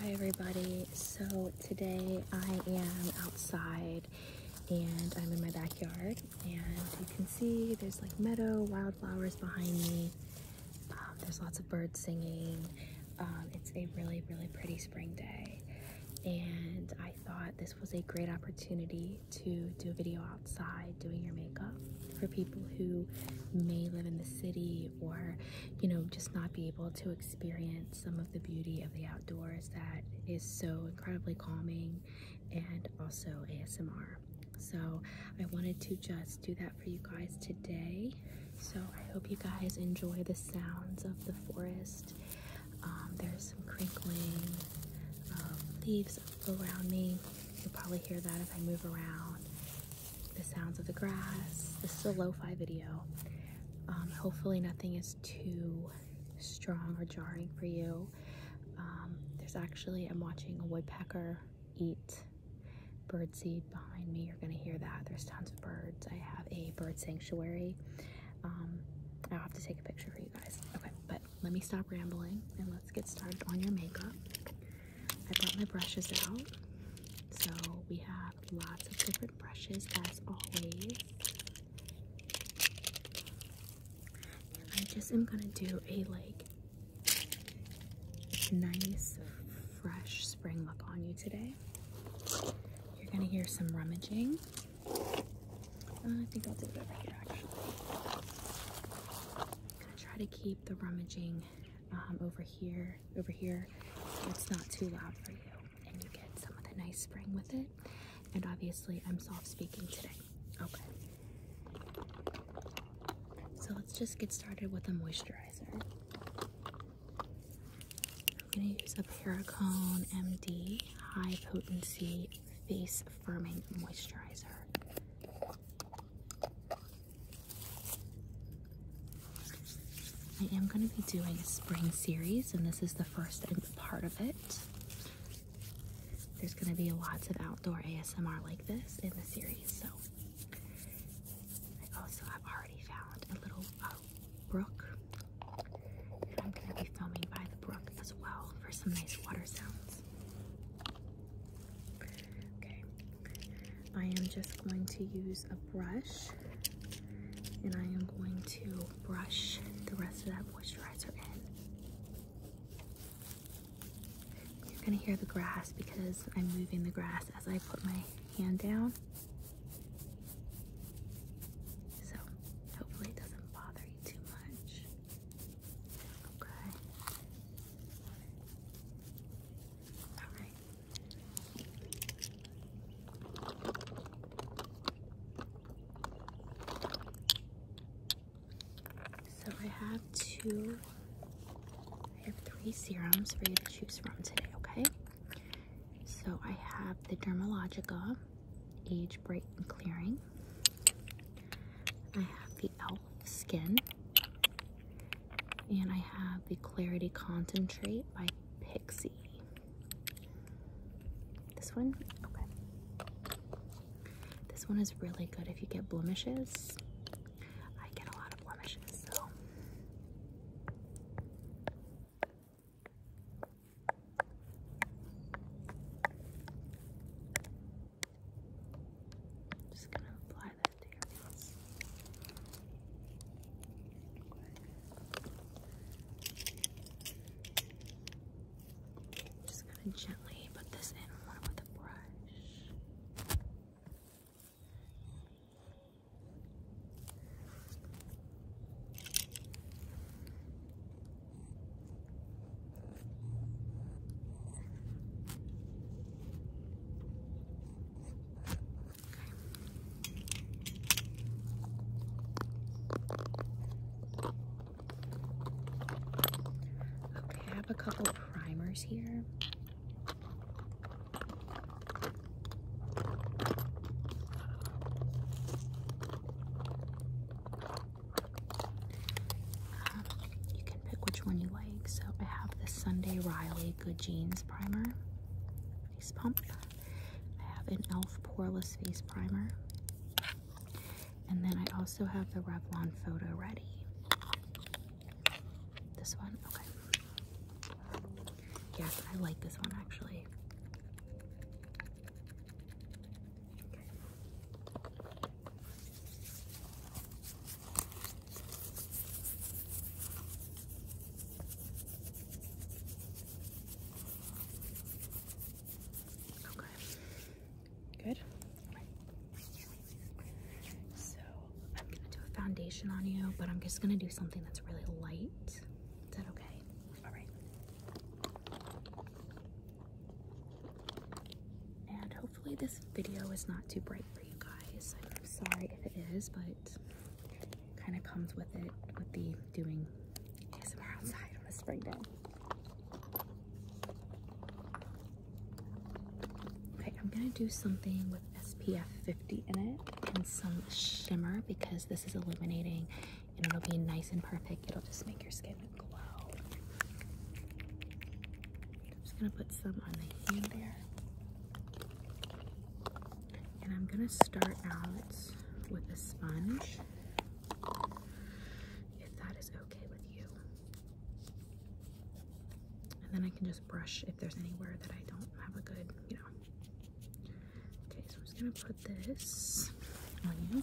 Hi everybody, so today I am outside and I'm in my backyard and you can see there's like meadow, wildflowers behind me, um, there's lots of birds singing, um, it's a really really pretty spring day and I thought this was a great opportunity to do a video outside doing your makeup for people who may live in the city or, you know, just not be able to experience some of the beauty of the outdoors that is so incredibly calming and also ASMR. So I wanted to just do that for you guys today. So I hope you guys enjoy the sounds of the forest. Um, there's some crinkling leaves around me. You'll probably hear that if I move around the sounds of the grass. This is a lo-fi video. Um, hopefully nothing is too strong or jarring for you. Um, there's actually, I'm watching a woodpecker eat birdseed behind me. You're gonna hear that. There's tons of birds. I have a bird sanctuary. Um, I'll have to take a picture for you guys. Okay, but let me stop rambling and let's get started on your makeup. I brought my brushes out. So we have lots of different brushes as always. I just am gonna do a like nice fresh spring look on you today. You're gonna hear some rummaging. Uh, I think I'll do it over here actually. I'm gonna try to keep the rummaging um, over here over here, it's not too loud for you. And you get some of the nice spring with it. And obviously, I'm soft speaking today. Okay. So let's just get started with the moisturizer. I'm going to use a Paracone MD High Potency Face Firming Moisturizer. I am going to be doing a spring series, and this is the first part of it. There's going to be lots of outdoor ASMR like this in the series. So, I have already found a little uh, brook, and I'm going to be filming by the brook as well for some nice water sounds. Okay, I am just going to use a brush and I am going to brush the rest of that moisturizer in. You're going to hear the grass because I'm moving the grass as I put my hand down. So hopefully it doesn't bother you too much. Okay. Alright. So I have two, I have three serums for you to choose from today, okay? So I have the Dermalogica Age Bright and Clearing. I have the Elf Skin. And I have the Clarity Concentrate by Pixie. This one? Okay. This one is really good if you get blemishes. I get a lot of blemishes, so. Just gonna apply that to Just gonna gently put this in with a brush. Okay, I have a couple primers here. Um, you can pick which one you like. So I have the Sunday Riley good jeans primer face pump. I have an e.l.f. poreless face primer. And then I also have the Revlon Photo Ready. This one? Okay. Yes, I like this one actually. Okay. Good. So I'm gonna do a foundation on you, but I'm just gonna do something that's really light. Is that okay? All right. And hopefully this video is not too bright for you guys. I'm sorry if it is, but kind of comes with it with the doing ASMR outside on a spring day. Okay, I'm gonna do something with SPF 50 in it and some shimmer because this is illuminating and it'll be nice and perfect. It'll just make your skin glow. I'm just gonna put some on the hand there. And I'm gonna start out with a sponge, if that is okay with you. And then I can just brush if there's anywhere that I don't have a good, you know. Okay, so I'm just gonna put this on you.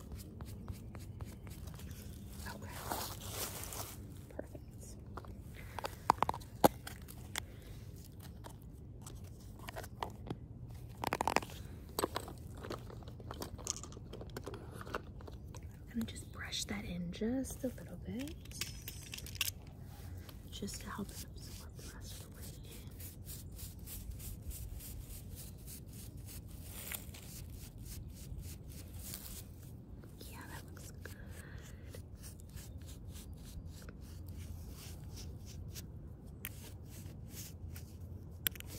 Okay. Perfect. I'm just brush that in just a little bit. Just to help yeah, that looks good.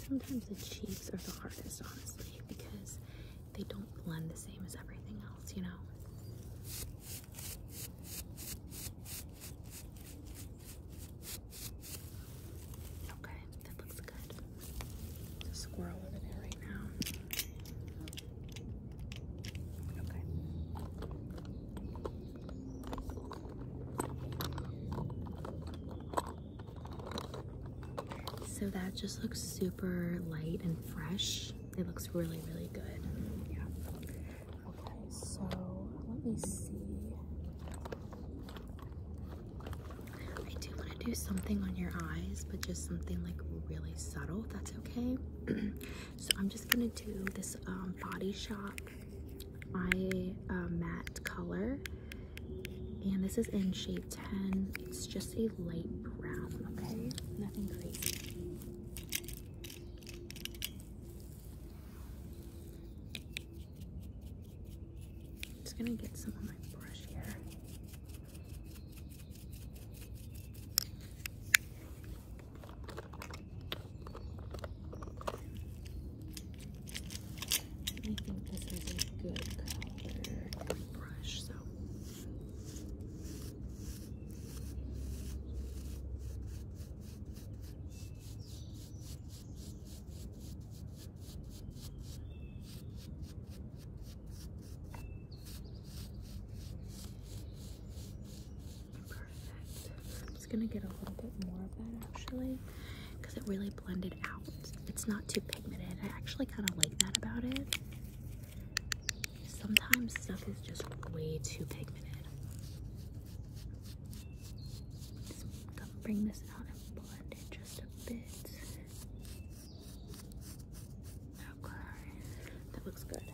Sometimes the cheeks are the hardest, honestly, because they don't blend the same as everything else, you know? Okay, that looks good. a squirrel living there right now. Okay. So that just looks super light and fresh. It looks really, really good. Yeah. Okay, so let me see. I do want to do something on your eyes, but just something like really subtle, that's okay. so I'm just gonna do this um, Body Shop eye uh, matte color, and this is in shade 10. It's just a light brown, okay? Nothing crazy i just gonna get some of my brush here. I think this is a good color brush, so Perfect. I'm just gonna get a little bit more of that actually because it really blended out. It's not too pigmented. I actually kind of like that about it. Sometimes stuff is just way too pigmented. Just bring this out and blend it Okay, that looks good. Okay.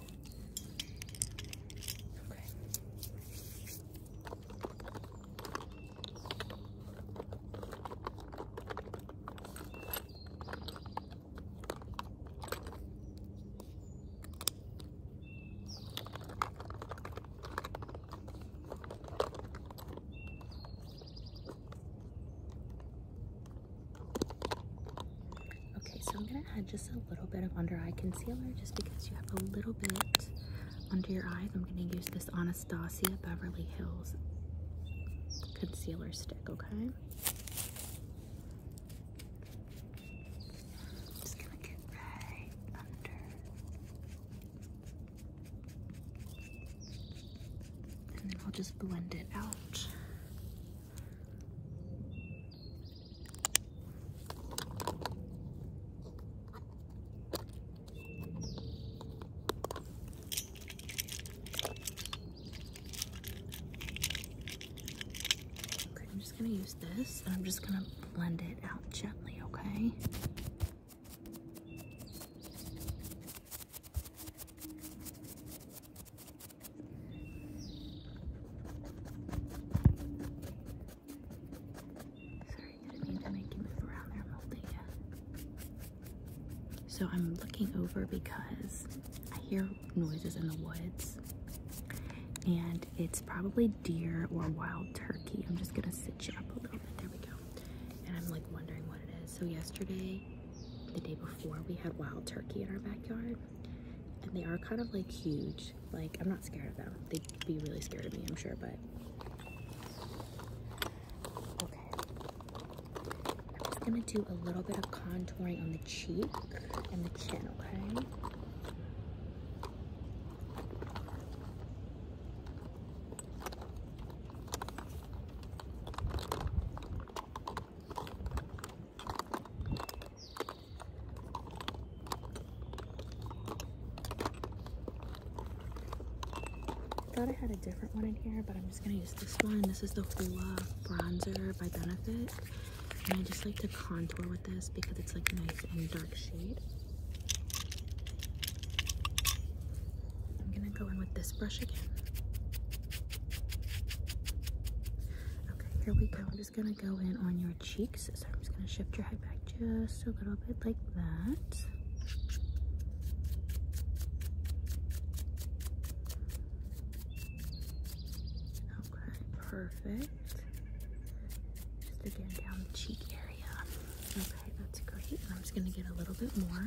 Okay, so I'm gonna add just a little bit of under eye concealer just because you have a little bit under your eyes. I'm gonna use this Anastasia Beverly Hills concealer stick, okay? Just gonna get right under and then I'll just blend it out. Okay, I'm just gonna use this and I'm just gonna blend it out gently, okay? Sorry, I need to make you move around there, Moldy. So I'm looking over because I hear noises in the woods. And it's probably deer or wild turkey. I'm just gonna sit you up a little bit. There we go and I'm like wondering what it is. So yesterday, the day before, we had wild turkey in our backyard, and they are kind of like huge. Like I'm not scared of them. They'd be really scared of me, I'm sure, but. Okay. I'm just gonna do a little bit of contouring on the cheek and the chin, okay? I thought I had a different one in here, but I'm just gonna use this one. This is the Hoola Bronzer by Benefit. And I just like to contour with this because it's like nice and dark shade. I'm gonna go in with this brush again. Okay, here we go. I'm just gonna go in on your cheeks. So I'm just gonna shift your head back just a little bit like that. Okay, perfect. Just again down the cheek area. Okay, that's great. I'm just going to get a little bit more.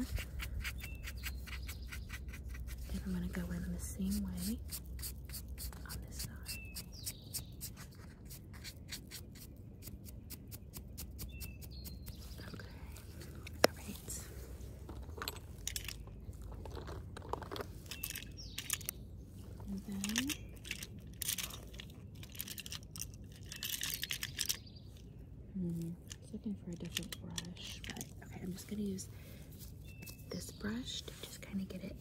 And I'm going to go in the same way Okay. All right. And then Hmm. looking for a different brush, but okay, I'm just gonna use this brush to just kind of get it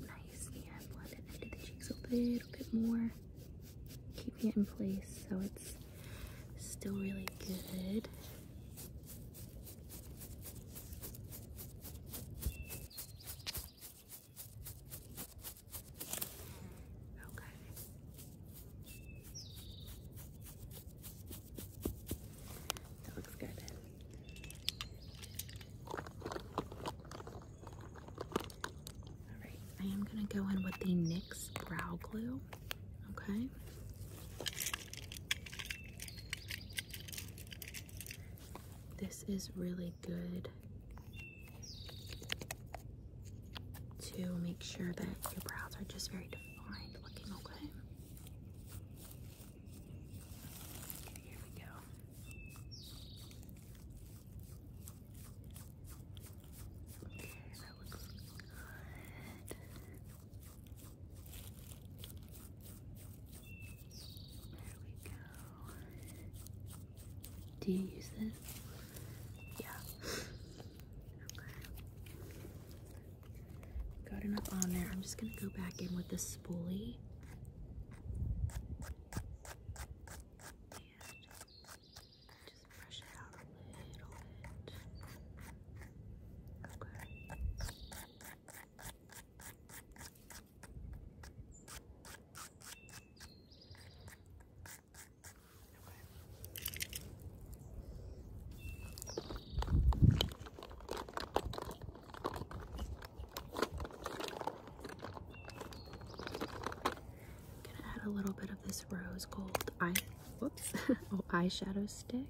nice and blend into the cheeks a little bit more, keeping it in place so it's still really good. Okay. That looks good. Alright, I am going to go in with the NYX Brow Glue. Okay. This is really good to make sure that your brows are just very defined looking, okay? here we go. Okay, that looks good. There we go. Do you use this? Yeah. Got enough on there. I'm just gonna go back in with the spoolie. And just brush it out a little bit. Okay gonna add a little bit of this rose gold eye whoops oh eyeshadow stick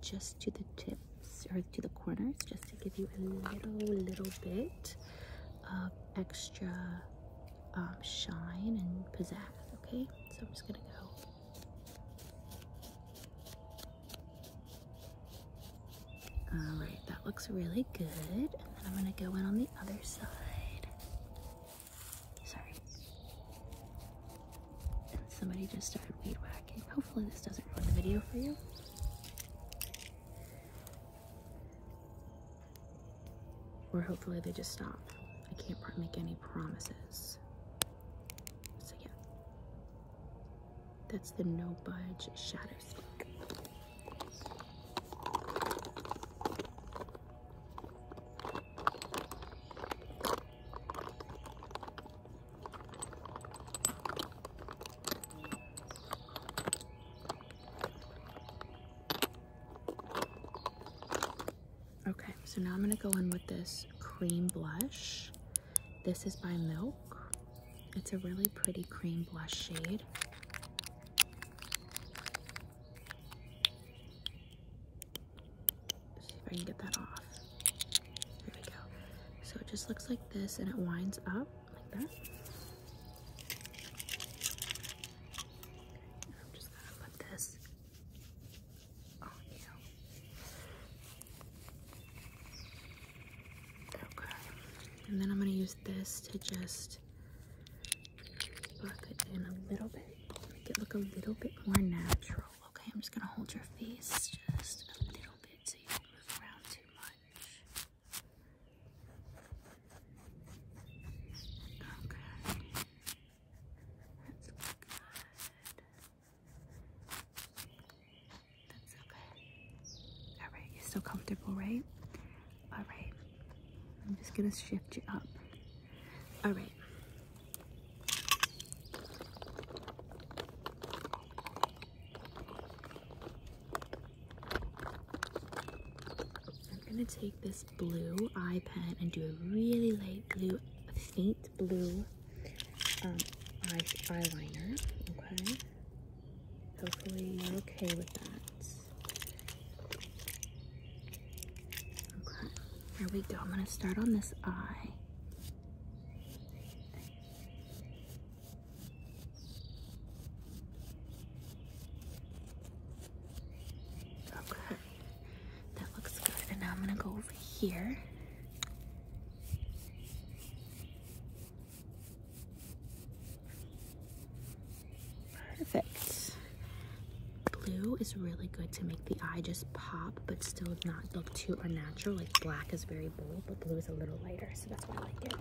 just to the tips or to the corners just to give you a little little bit of extra um, shine and pizzazz okay so i'm just gonna go all right that looks really good and then i'm gonna go in on the other side sorry somebody just started weed whacking hopefully this doesn't ruin the video for you or hopefully they just stop. I can't make any promises. So, yeah. That's the no budge shadow stick. Okay, so now I'm gonna go in with this cream blush. This is by Milk. It's a really pretty cream blush shade. see if I can get that off. There we go. So it just looks like this and it winds up like that. And I'm just gonna put this on you. Okay. And then I'm gonna use this to just buff it in a little bit. Make it look a little bit more natural. Okay, I'm just gonna hold your face just a little bit so you don't move around too much. Okay. That's good. That's okay. Alright, you're so comfortable, right? Alright. I'm just gonna shift you up. Alright. I'm gonna take this blue eye pen and do a really light blue, faint blue um, eye eyeliner. Okay. Hopefully you're okay with that. Okay. Here we go. I'm gonna start on this eye. Okay, that looks good. And now I'm going to go over here. Perfect. Blue is really good to make the eye just pop, but still not look too unnatural black is very bold, but blue is a little lighter, so that's why I like it.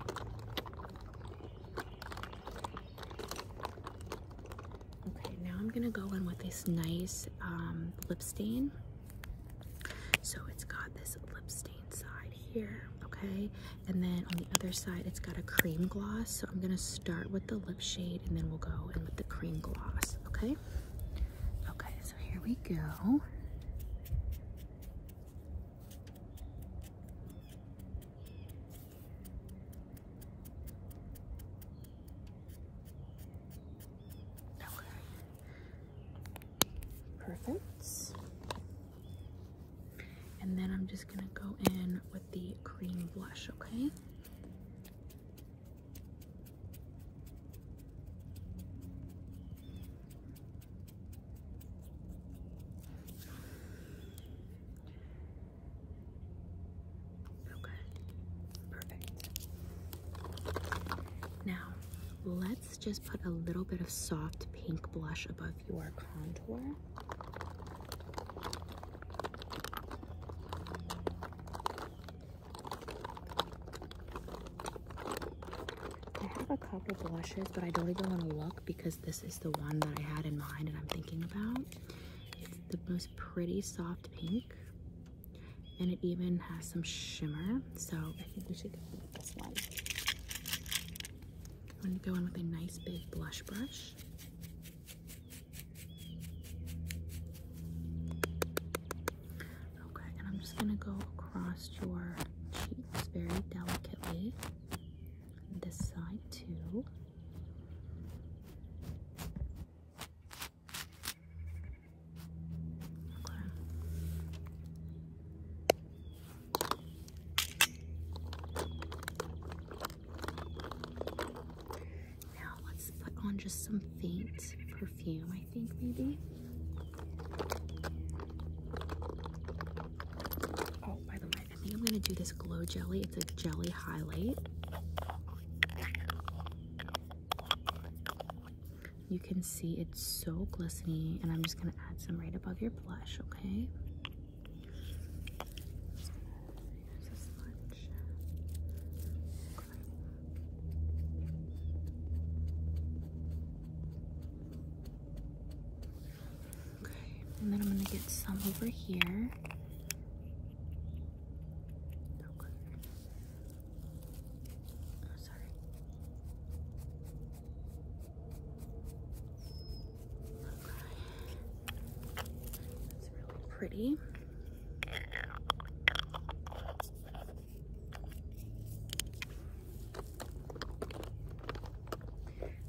Okay, now I'm gonna go in with this nice um, lip stain. So it's got this lip stain side here, okay? And then on the other side, it's got a cream gloss. So I'm gonna start with the lip shade and then we'll go in with the cream gloss, okay? Okay, so here we go. Perfect. And then I'm just gonna go in with the cream blush, okay? Okay, perfect. Now, let's just put a little bit of soft pink blush above your contour. I have a couple blushes, but I don't even want to look because this is the one that I had in mind and I'm thinking about. It's the most pretty soft pink. And it even has some shimmer. So I think we should go with this one. I'm going to go in with a nice big blush brush. Okay, and I'm just gonna go across your cheeks very delicately. This side too. Now let's put on just some faint perfume. I think maybe. Oh, by the way, I think I'm gonna do this glow jelly. It's a jelly highlight. You can see it's so glistening, and I'm just gonna add some right above your blush, Okay. Okay, and then I'm going to get some over here. Oh, sorry. That's really pretty.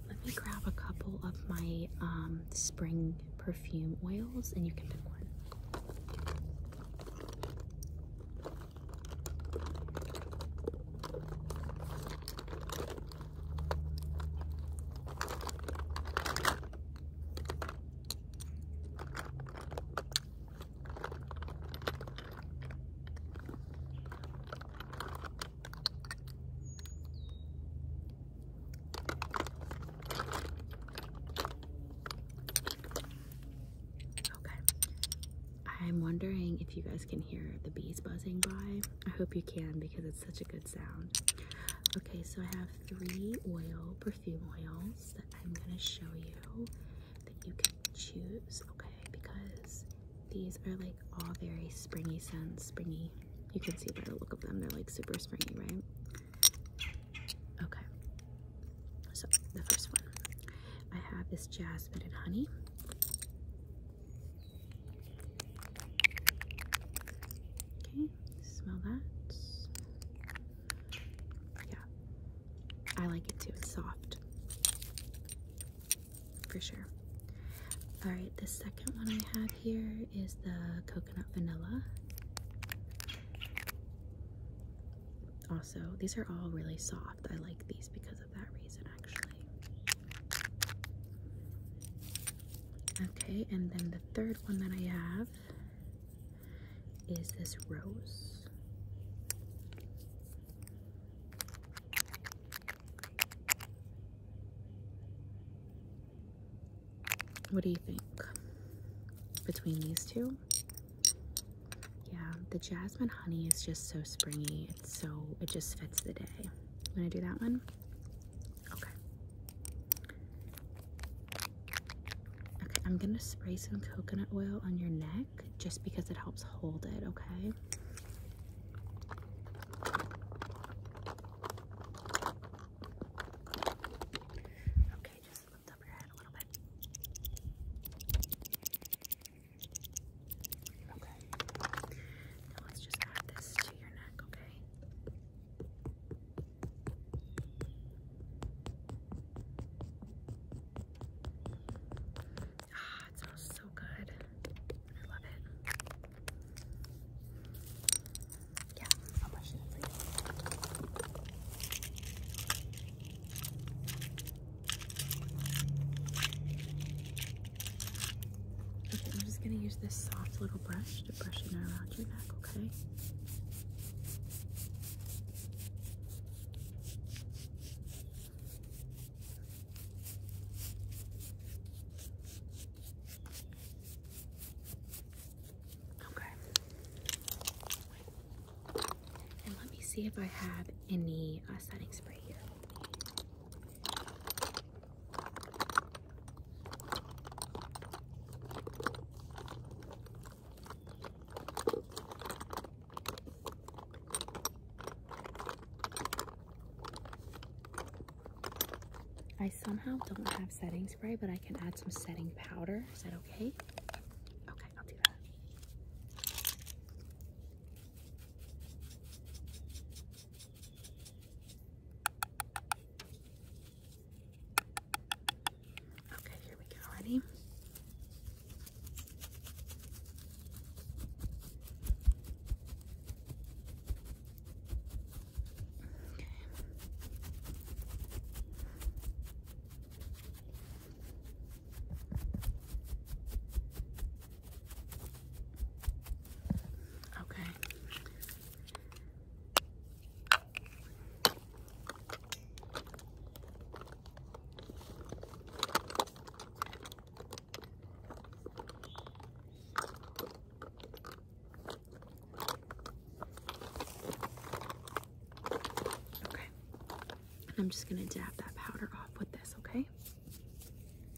Let me grab a couple of my um, spring perfume oils and you can pick one. Okay. I'm wondering if you guys can hear the bees buzzing by. I hope you can because it's such a good sound. Okay, so I have three oil perfume oils that I'm going to show you that you can choose, okay? Because these are like all very springy scents, springy. You can see by the look of them, they're like super springy, right? Okay. So the first one I have is jasmine and honey. Okay, smell that. Yeah, I like it too. It's soft. For sure. Alright, the second one I have here is the coconut vanilla. Also, these are all really soft. I like these because of that reason, actually. Okay, and then the third one that I have is this rose. What do you think? Between these two? Yeah, the jasmine honey is just so springy. It's so, it just fits the day. I'm going to do that one? Okay. Okay, I'm gonna spray some coconut oil on your neck just because it helps hold it, okay? Okay, Now let's just add this to your neck, Okay. Ah, it smells so good. I love it. Yeah, Okay, I'm just gonna use this soft little brush to brush it around your neck, okay? Okay. And let me see if I have any uh, setting spray here. I somehow don't have setting spray, but I can add some setting powder. Is that okay? Okay, I'll do that. Okay, here we go. Ready? Okay. Okay. Okay. I'm just going to dab that powder off with this, okay?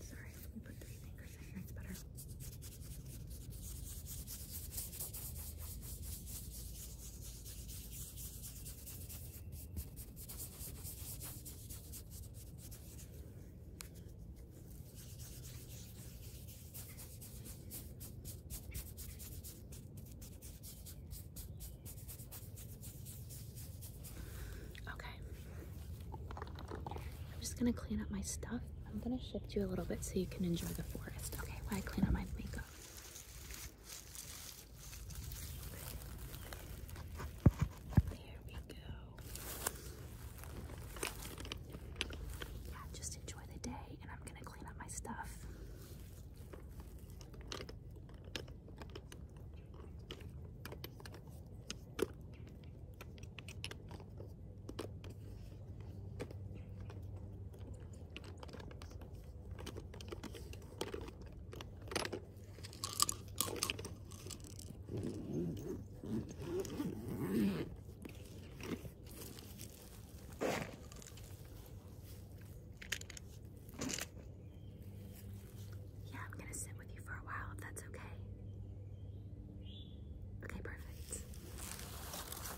Sorry, let me put three fingers here, it's better. Okay. Okay. I'm just gonna clean up my stuff. I'm gonna shift you a little bit so you can enjoy the forest. Okay, while I clean up my makeup. There we go. Yeah, just enjoy the day, and I'm gonna clean up my stuff. Yeah, I'm gonna sit with you for a while if that's okay. Okay, perfect.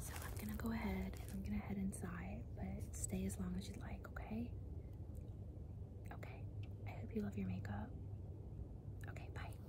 So I'm gonna go ahead and I'm gonna head inside, but stay as long as you'd like, okay? Okay. I hope you love your makeup. Okay, bye.